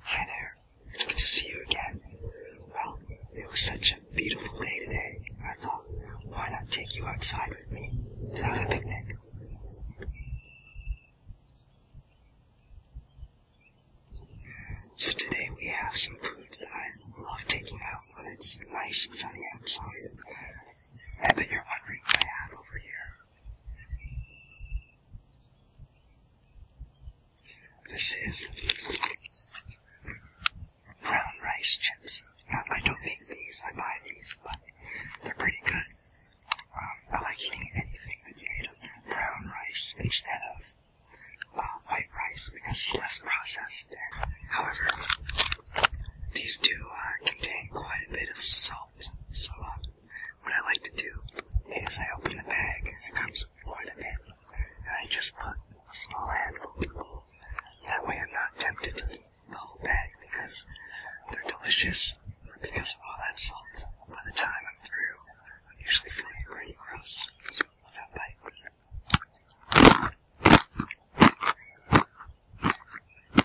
Hi there. It's good to see you again. Well, it was such a beautiful day today. I thought, why not take you outside with me to have a picnic? So today we have some foods that I love taking out when it's nice and sunny outside. I bet you're wondering what I have over here. This is brown rice chips. I don't make these, I buy these, but they're pretty good. Um, I like eating anything that's made of brown rice instead of uh, white rice because it's less processed. However, these do uh, contain quite a bit of salt, so uh, what I like to do is I open the bag that comes with quite a bit, and I just put a small handful in That way I'm not tempted to eat the whole bag because they're delicious, because of all that salt. By the time I'm through, I'm usually feeling pretty gross. So that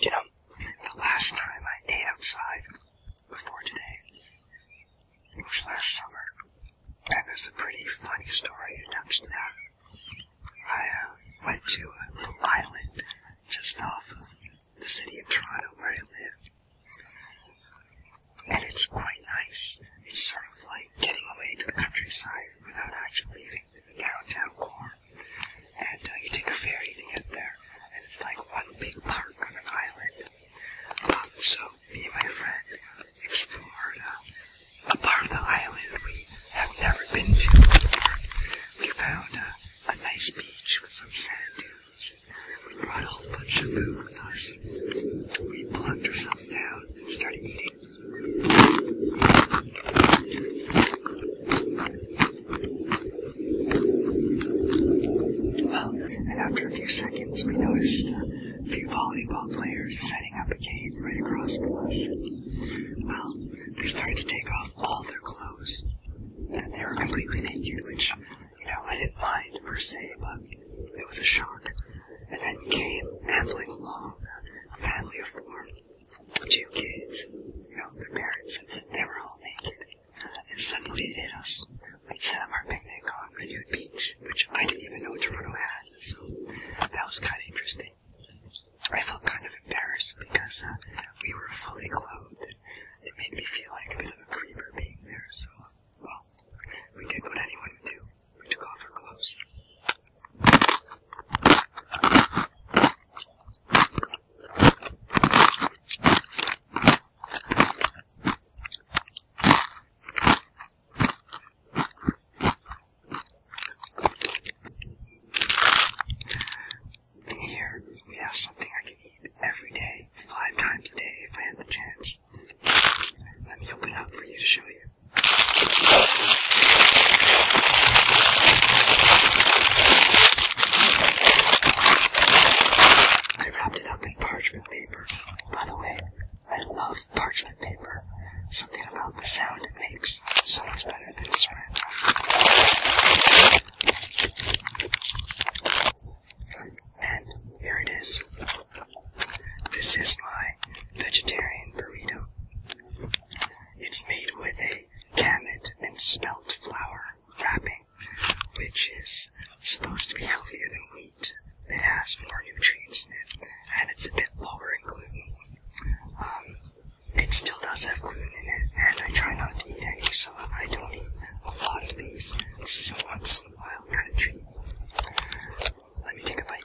You know, the last time I ate outside before today was last summer, and there's a pretty funny story attached to that. I uh, went to a little island just off of the city of Toronto where I live, and it's quite nice. It's sort of like getting away to the countryside without actually leaving. In the downtown core. And uh, you take a ferry to get there, and it's like one big park on an island. Um, so me and my friend explored uh, a part of the island we have never been to before. We found uh, a nice beach with some sand dunes. We brought a whole bunch of food with us. We plunked ourselves down and started eating and after a few seconds, we noticed a few volleyball players setting up a game right across from us. Well, they started to take off all their clothes, and they were completely naked, which, you know, I didn't mind per se, but it was a shock. And then came ambling along a family of four two kids, you know, their parents, they were all naked, uh, and suddenly it hit us. We'd set up our picnic on a new beach, which I didn't even know Toronto had, so that was kind of interesting. I felt kind of embarrassed because uh, we were fully clothed, and it made me feel like a bit of a creeper being there, so, well, we did what anyone would do. We took off our clothes. here we have something I can eat every day, five times a day if I had the chance. Let me open up for you to show you. I wrapped it up in parchment paper. By the way, I love parchment paper. Something about the sound it makes so much better than saran wrap. And here it is. This is my vegetarian burrito. It's made with a kamut and spelt flour wrapping, which is supposed to be healthier than wheat. It has more nutrients in it, and it's a bit lower in gluten. Um, it still does have gluten in it, and I try not to eat any, so I don't eat a lot of these. This is a once in a while kind of treat. Let me take a bite.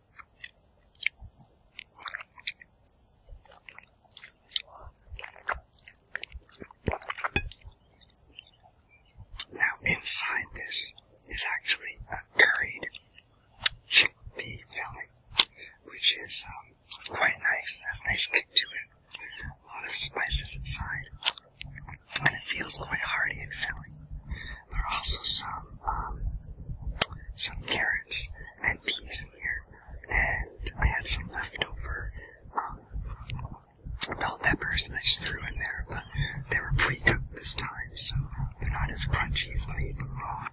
Now inside this is actually a curried chickpea filling, which is um, quite nice. has a nice kick to it. A lot of spices inside and it feels quite hearty and filling. There are also some um, some carrots and peas in here, and I had some leftover um, bell peppers that I just threw in there, but they were pre-cooked this time, so they're not as crunchy as when I eat them raw.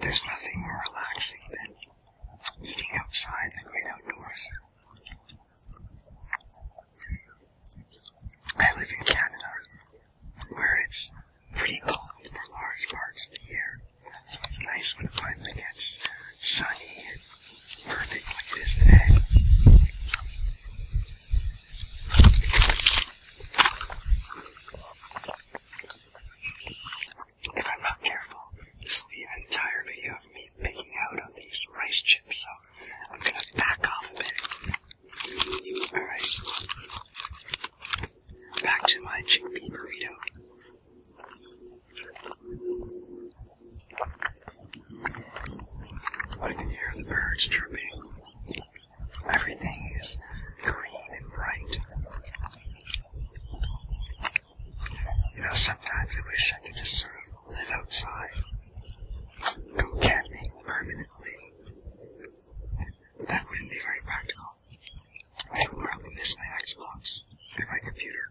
There's nothing more relaxing than eating outside the great outdoors. I live in Canada, where it's pretty cold for large parts of the year, so it's nice when it finally gets sunny and perfect like it is today. If I'm not careful, this will be an entire video of me picking out on these rice chips, so I'm gonna back off a bit. Alright. Back to my chickpea burrito. I can hear the birds chirping. Everything is green and bright. You know, sometimes I wish I could just sort of live outside. Go camping permanently. That wouldn't be very practical. I would probably miss my Xbox and my computer.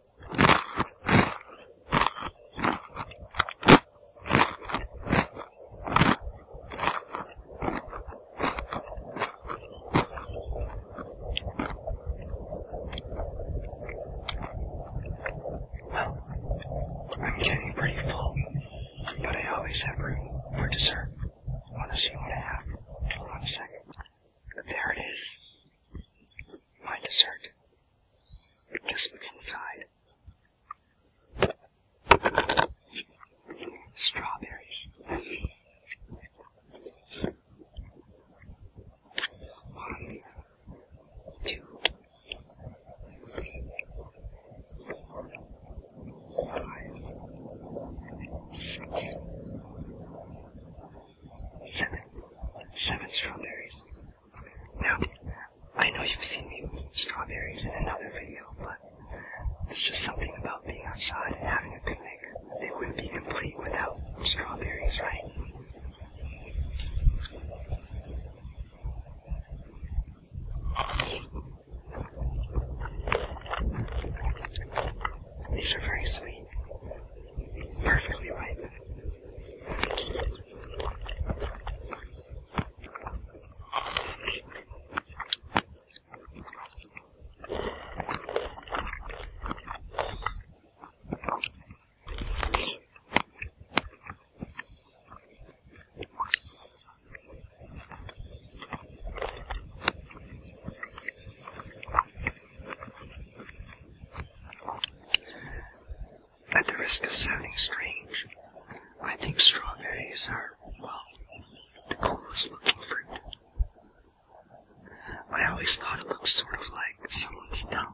I'm getting pretty full, but I always have room for dessert. Want to see what I have? Hold on a second. There it is. My dessert. Guess what's inside? Strawberries. One, two, five, six. Seven. Seven strawberries. Now, I know you've seen me with strawberries in another video, but there's just something about being outside and having a picnic. It wouldn't be complete without strawberries, right? These are very sweet. Perfectly ripe. At the risk of sounding strange, I think strawberries are, well, the coolest looking fruit. I always thought it looked sort of like someone's tongue.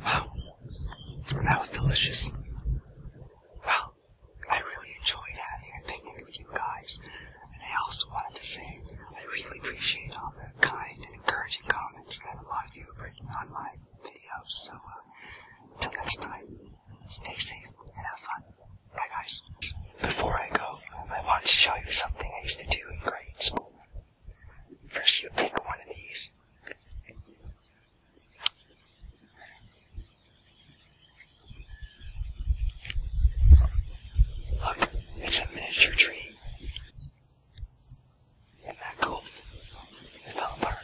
Wow, that was delicious. Well, I really enjoyed having a picnic with you guys, and I also wanted to say I really appreciate all the kind and encouraging comments that a lot of you have written on my videos. So, until uh, next time. Stay safe and have fun. Bye, guys. Before I go, I want to show you something I used to do in grade school. First, you pick one of these. Look, it's a miniature tree. Isn't that cool? It fell apart.